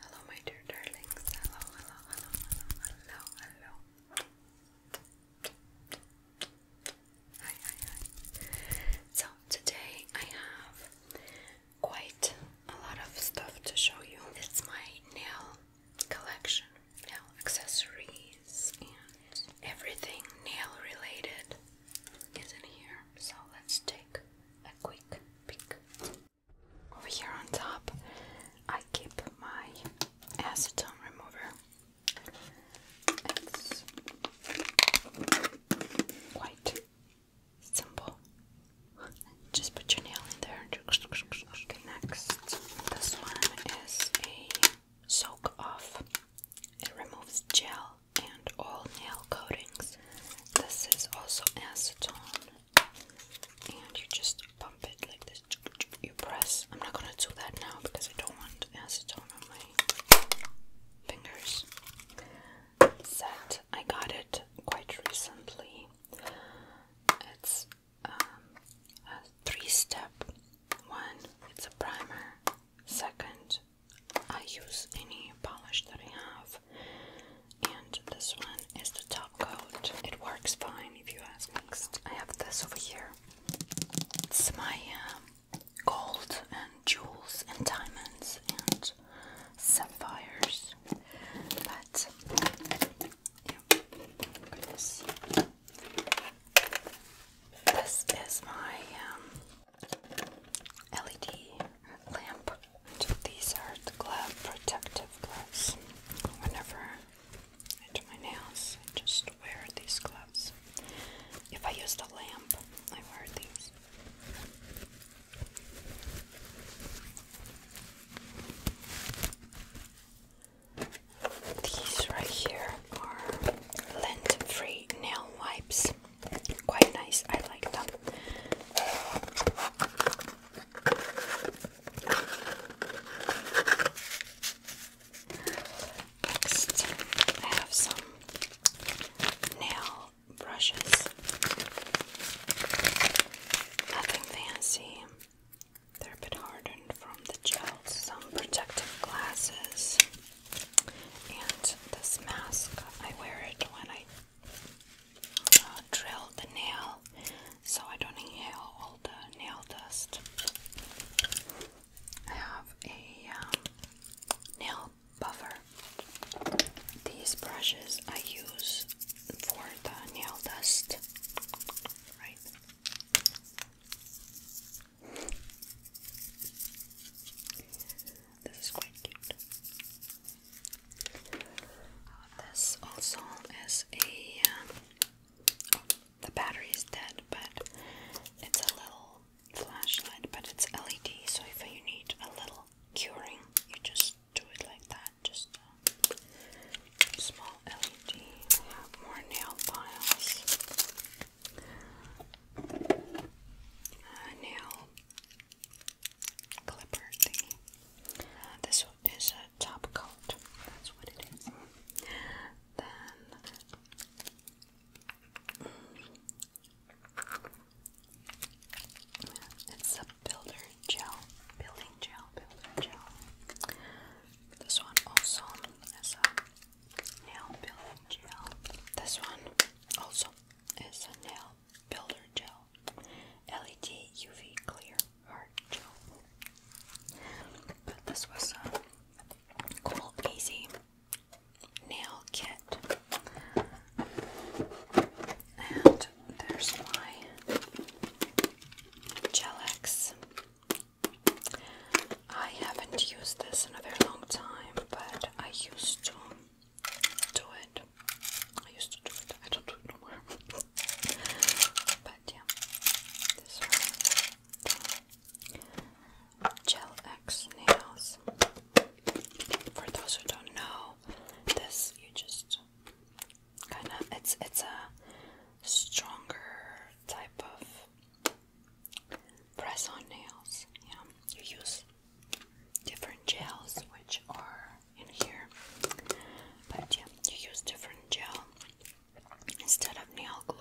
Hello, my dear darlings. Hello, hello, hello, hello, hello, hello. Hi, hi, hi. So, today I have quite a lot of stuff to show you. It's my nail collection, nail accessories, and everything nail related is in here. So, let's take a quick peek. Over here on top, I keep my acetone remover. quite simple. Just put your nail in there. next, this one is a soak off. It removes gel and all nail coatings. This is also acetone, and you just pump it like this. You press. I'm not gonna do that now because I don't want acetone on my fingers. Set. I got it quite recently. It's um, a three-step one. It's a primer. Second, I use any polish that I have and this one is the top coat. It works fine if you ask. me. I have this over here. It's my um, gold and jewels and diamonds and sapphires. But yeah, This is my um, LED lamp. these are the glove protective gloves. Whenever I do my nails, I just wear these gloves. If I use the lamp, I wear these. These right here are lint-free nail wipes. Quite nice. I like them. Next, I have some nail brushes. Nothing fancy. They're a bit hardened from the gel. Some protective glasses. And this mask, I wear it when I uh, drill the nail so I don't inhale all the nail dust. I have a um, nail buffer. These brushes I use for the nail dust. Right. This is quite cute. This also is a. Um, oh, the battery is dead, but it's a little flashlight, but it's LED, so if you need a little curing, you just do it like that. Just small LED. I have more nail files. Uh, nail clipper uh, This one is a top coat. That's what it is. Then it's a builder gel, building gel, builder gel. This one also is a nail building gel. This one also is a nail builder gel. LED UV clear heart gel. But this was a cool, easy nail kit, and there's my Gelex. I haven't used this in a very long time, but I used to do it. I used to do it. I don't do it anymore. but yeah, this one, Gel X nails. For those who don't know, this you just kind of it's it's a stronger type of press on nails. Yeah, you use different gels which are in here. But yeah, you use different gel instead of nail glue,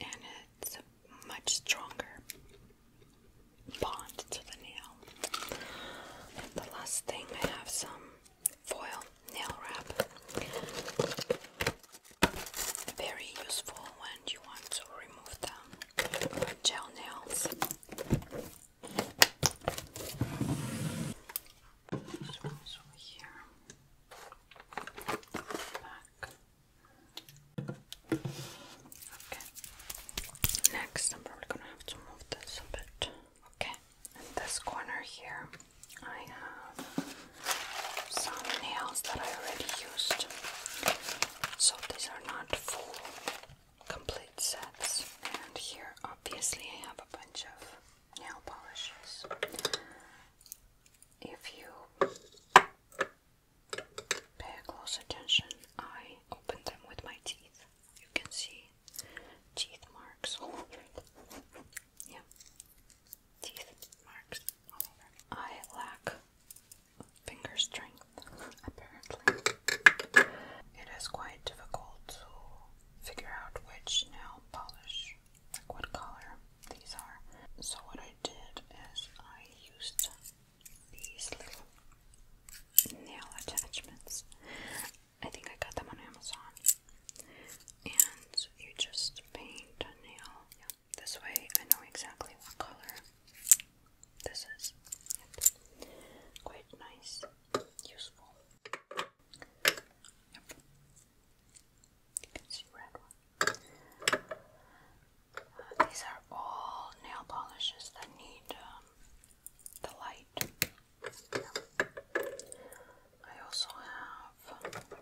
and it's a much stronger bond to the nail. And the last thing, I have some foil nail wrap. Very useful when you want to remove the gel nails. Okay. Next, I'm probably gonna have to move this a bit. Okay. this corner here, I have some nails that I already used. So these are not full complete sets. And here, obviously, I have a bunch of nail polishes. If you pay close attention, I opened them with my teeth. You can see teeth marks Yeah, teeth marks I lack finger strength apparently. It is quite difficult to figure out which nail polish, like what color these are. So, what I did is I used these little nail attachments. I think I got them on Amazon. And you just paint a nail. Yeah. This way I know exactly what color this is quite nice, useful. You can see red one. Uh, these are all nail polishes that need um, the light. I also have a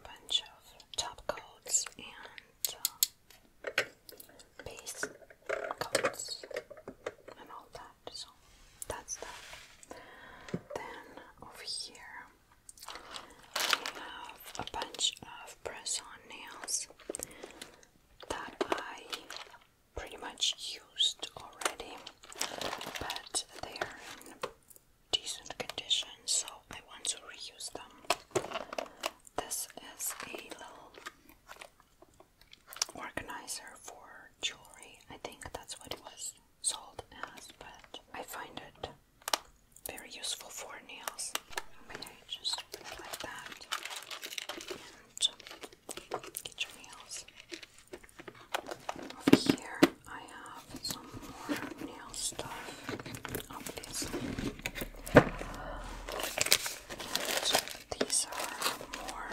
bunch of top coats and base uh, coats and all that. So that's that. Then over here we have a bunch of press-on nails that I pretty much used already, but they are in decent condition, so I want to reuse them. This is a little organizer for jewelry. I think that's what it was sold as, but I find it very useful for nails. Okay, just like that and get your nails. Over here, I have some more nail stuff, obviously. these are more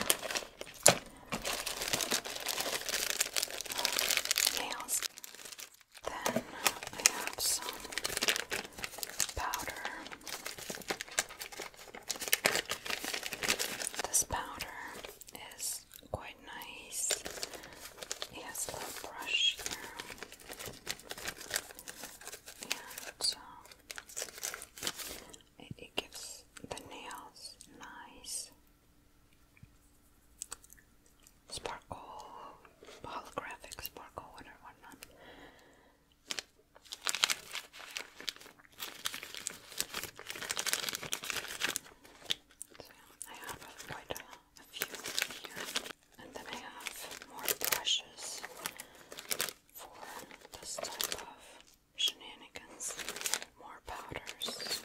nails. Then I have some powder. This powder is quite nice. It has a brush here. And um, it, gives the nails nice sparkle, holographic sparkle, whatever, So yeah, I have quite a few here, and then I have more brushes for this type of shenanigans, more powders.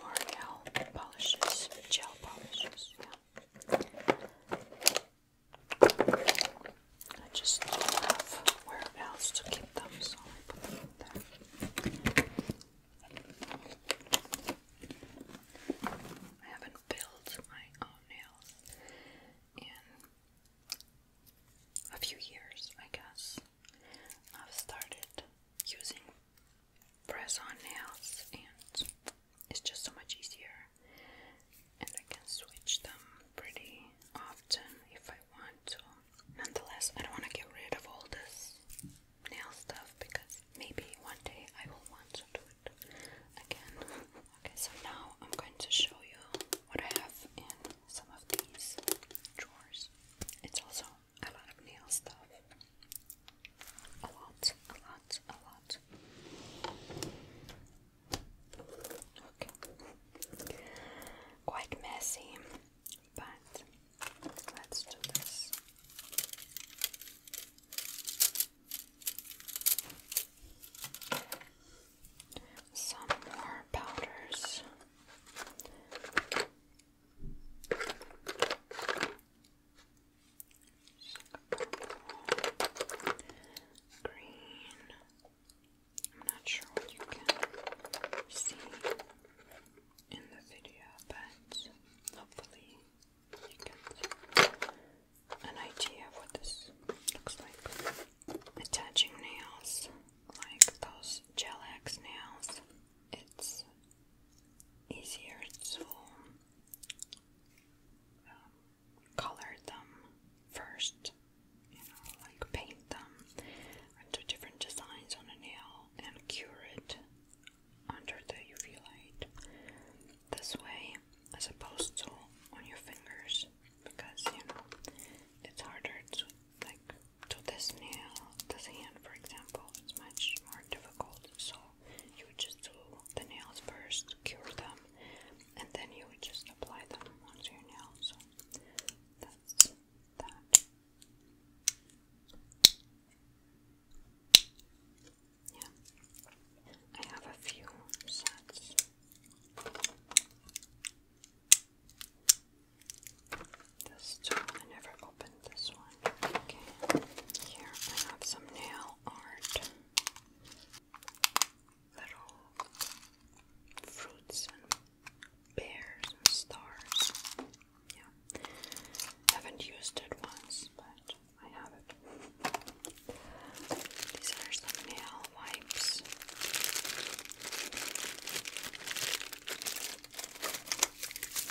L'Oreal polishes, gel polishes, yeah. I just do where else to keep them, so I put them there. I haven't built my own nails in a few years, I guess. I've started using press on nails, and it's just so much easier. And I can switch them pretty often if I want to. Nonetheless, I don't want to get rid of all this nail stuff because maybe one day I will want to do it again. okay, so now I'm going to show you what I have in some of these drawers. It's also a lot of nail stuff. A lot, a lot, a lot. Okay. Quite messy, but let's do this. Some more powders. green. I'm not sure what you can see in the video, but hopefully an idea of what this looks like. Attaching nails, like those gel nails, it's easier to um, color them first, you know, like paint them into different designs on a nail and cure it under the UV light this way as opposed to on your fingers because you know it's harder to like do this nail this hand for example it's much more difficult so you would just do the nails first cure them and then you would just apply them onto your nails so that's that yeah. I have a few sets. This I never opened this one. Okay. Here I have some nail art. Little fruits and bears and stars yeah, haven't used it once, but I have it. These are some nail wipes.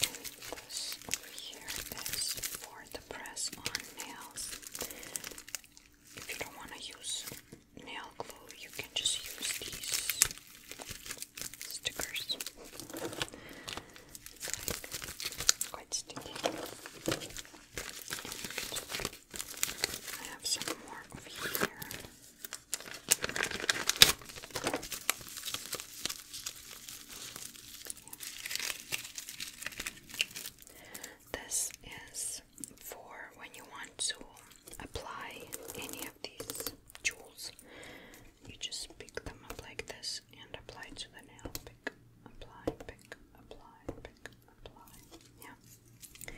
And this over here is for the press on nails. If you don't want to use nail glue, you can just use these stickers quite sticky. I have some more over here. This is for when you want to apply any of these jewels you just pick them up like this and apply to the nail. Pick, apply, pick, apply, pick, apply. Yeah.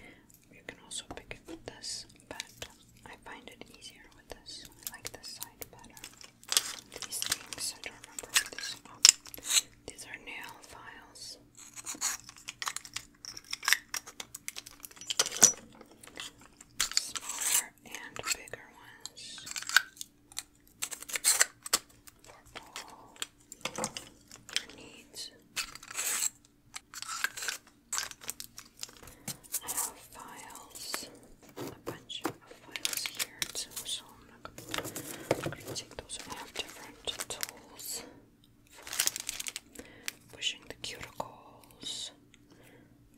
You can also pick it with this, but I find it easier with this. I like this side better. These things, I don't remember these are nail files. Smaller and bigger ones for all your needs. I have files, a bunch of files here so I'm gonna, gonna take those. I have different tools for pushing the cuticles.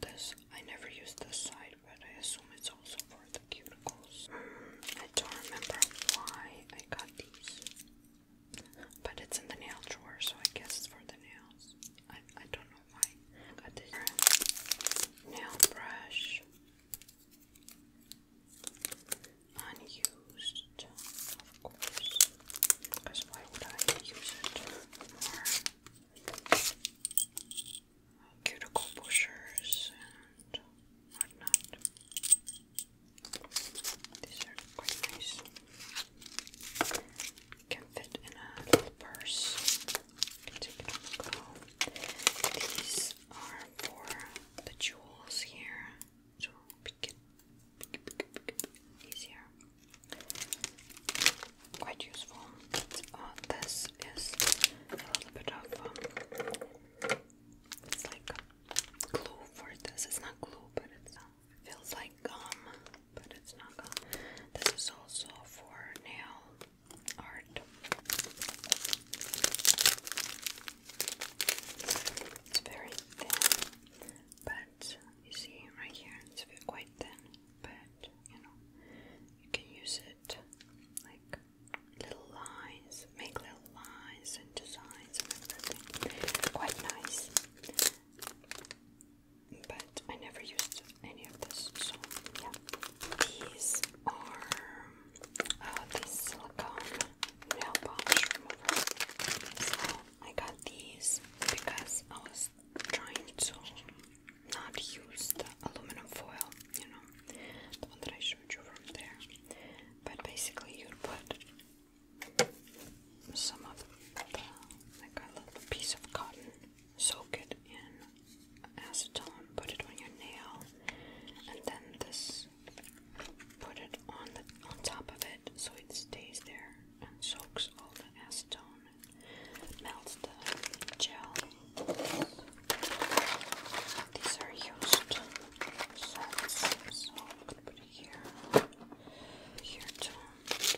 This I never use this side, but I assume it's also for the cuticles. Hmm, I don't remember why I got these, but it's in the nail drawer, so I guess it's for the nails. I, I don't know why. I got this nail brush, unused, of course, because why would I use it cuticle pushers and whatnot. These are quite nice. Can fit in a little purse. take it on the These are for the jewels here, so it, pick easier quite useful. Uh, this is a little bit of um, it's like glue for this. It's not glue, but it uh, feels like gum, but it's not gum. This is also for nail art. It's very thin, but you see right here, it's quite thin, but it, you know. You can use it like little lines, make little lines and designs and everything. Quite nice. But I never used any of this, so yeah. These are uh, silicone nail polish remover. So I got these because I was trying to not use the aluminum foil, you know, the one that I showed you from there. But basically, you put some of the, like a little piece of cotton, soak it in acetone, put it on your nail, and then this, put it on the on top of it so it stays there and soaks all the acetone melt the gel. These are used so I'm gonna put it here, here too.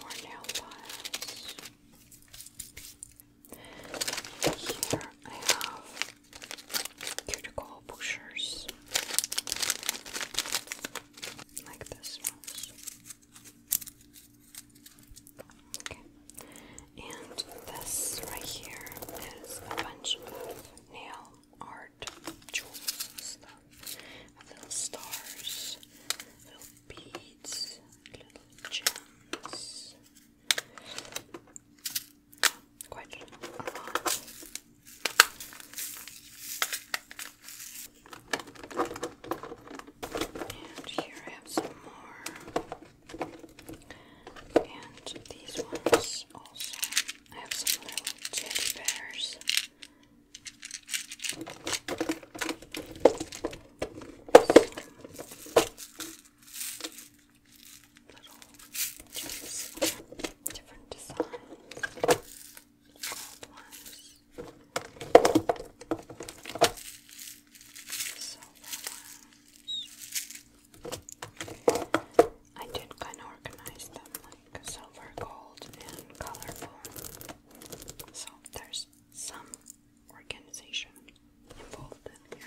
More nail files. Here I have cuticle pushers, like this one. And this right here is a bunch of nail art jewels and stuff. Little stars, little beads, little gems. Quite a lot. And here grab some more. And these ones also. I have some little teddy bears. little Different designs. Gold ones. So I did kind of organize them like silver, gold, and colorful. So there's some organization involved in here.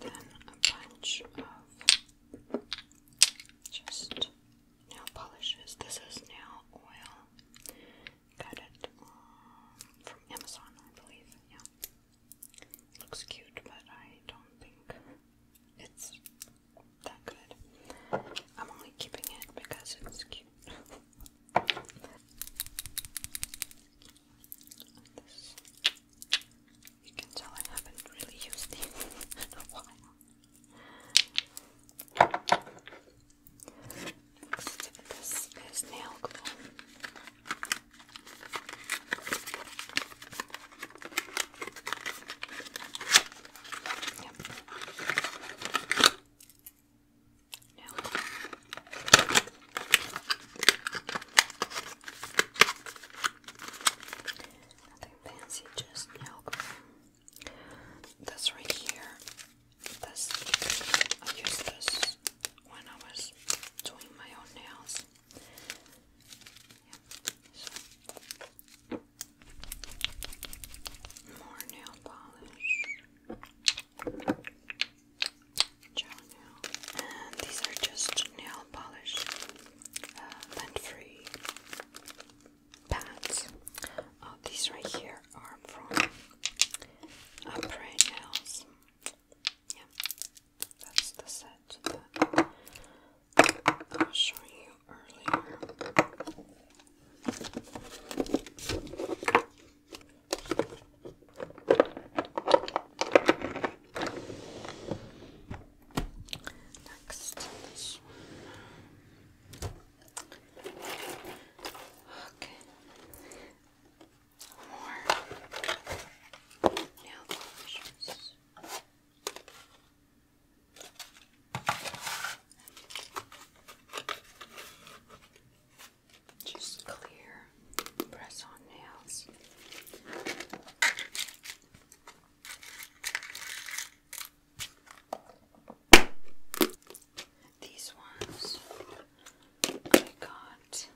then a bunch of uh, just nail uh, polishes. This is nail oil. Got it from Amazon, I believe. Yeah, looks cute, but I don't think it's that good. I'm only keeping it because it's cute. You can tell I haven't really used these in a while. Next, this is nail glue. No. Nothing fancy, just nail cream. This right here, this I used this when I was doing my own nails. Yeah, More nail polish these are just nail polish, lint-free uh, pads. Uh, these right here are from Upray uh, Nails. Yeah, that's the set I was showing you earlier. Next, this one. Okay. More nail polishes. Just clear press on nails. These ones I got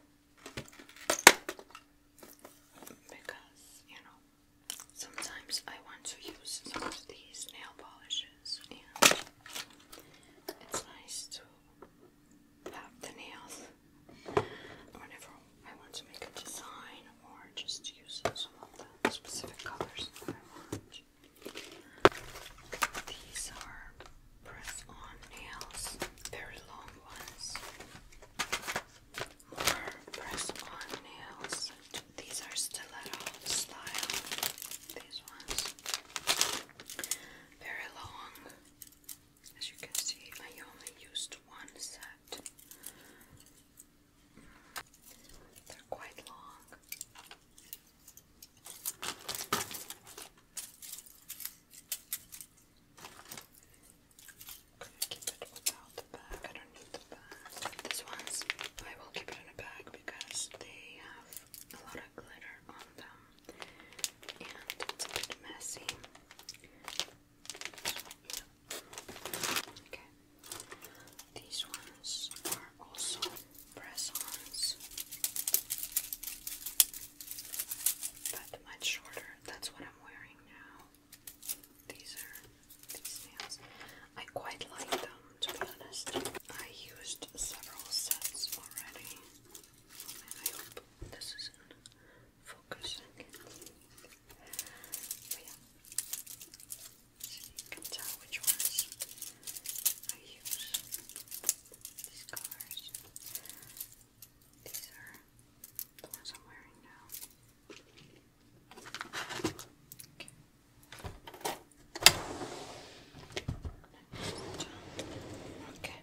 because, you know, sometimes I want to use these nail polishes it's nice to have the nails whenever I want to make a design or just use some of the specific colors I want. These are press-on nails, very long ones. More press-on nails. These are stiletto style these ones. Very long. As you can see, I only used one set. They're quite long. keep it without the bag. I the bag. These ones I will keep it in a bag because they have a lot of glitter on them, and it's a bit messy. Okay, these ones are also press-ons, but much shorter. That's what I'm wearing now. These are these nails. I quite like them to be honest. I used several sets already. I hope this is in yeah. So you can tell which ones I use. These colors. These are the ones I'm wearing now. Okay. Okay.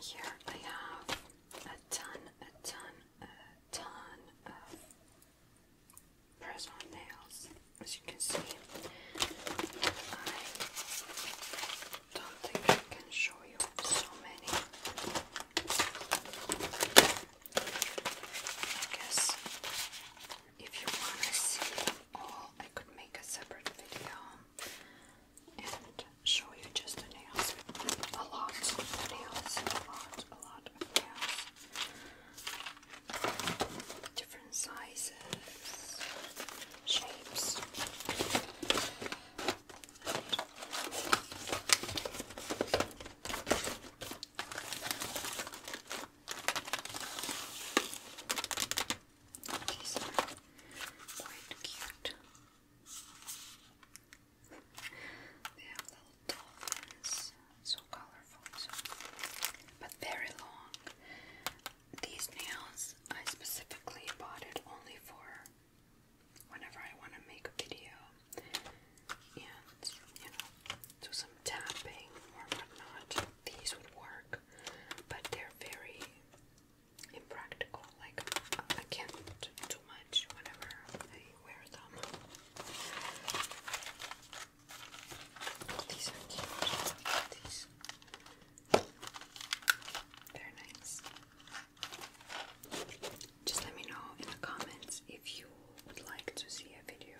Here I have a ton, a ton, a ton of press on nails. As you can see, I don't think I can show you so many. I guess if you want to see all, I could make a separate video and show you just the nails. A lot of nails, a lot, a lot of nails. Different sizes, shapes. These are quite cute. They have little dolphins, so colorful, so, but very long. These nails, I specifically bought it only for whenever I want to make a video, and you know, so some tapping or whatnot. These would work, but they're very impractical. Like I can't do too much whenever I wear them. These are cute. These. they nice. Just let me know in the comments if you would like to see a video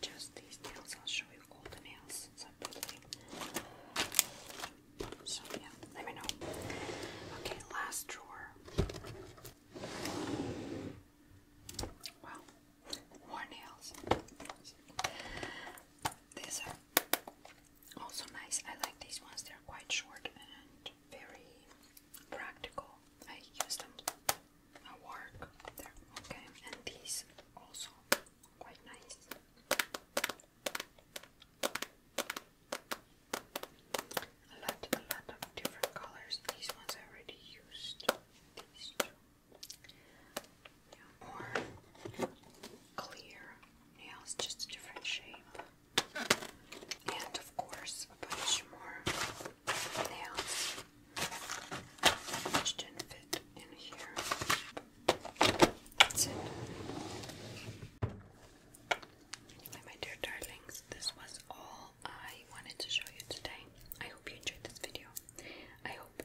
just these nails. I'll show you all the nails separately. So yeah, let me know. Okay, last drawer. Well, more nails. These are also nice. I like these ones. They're quite short and very practical. I use them a work there. Okay, and these also quite nice. A lot, a lot of different colors. These ones I already used. These two. more clear nails, just different shape. And of course, a bunch more nails my dear darlings, this was all I wanted to show you today. I hope you enjoyed this video. I hope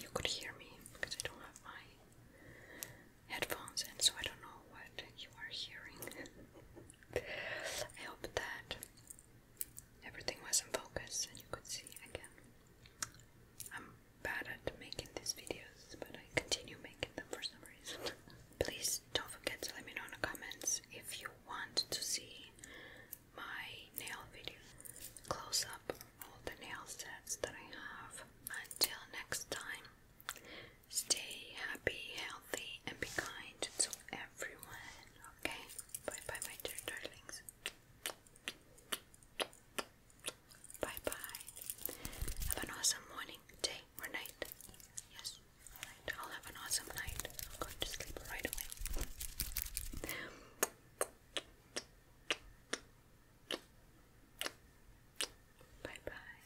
you could hear me because I don't have my headphones and so I don't know what you are hearing. I hope that Everything was in focus, and you could see again. I'm bad at making these videos, but I continue making them for some reason. Please don't forget to let me know in the comments if you want to see my nail video. Close up all the nail sets that I have. Until next time, stay happy, healthy, and be kind to everyone everyone. Okay, bye bye, my dear darlings. Bye bye. Have an awesome morning, day, or night. Yes, I'll have an awesome night. I'll go to sleep right away. Bye bye.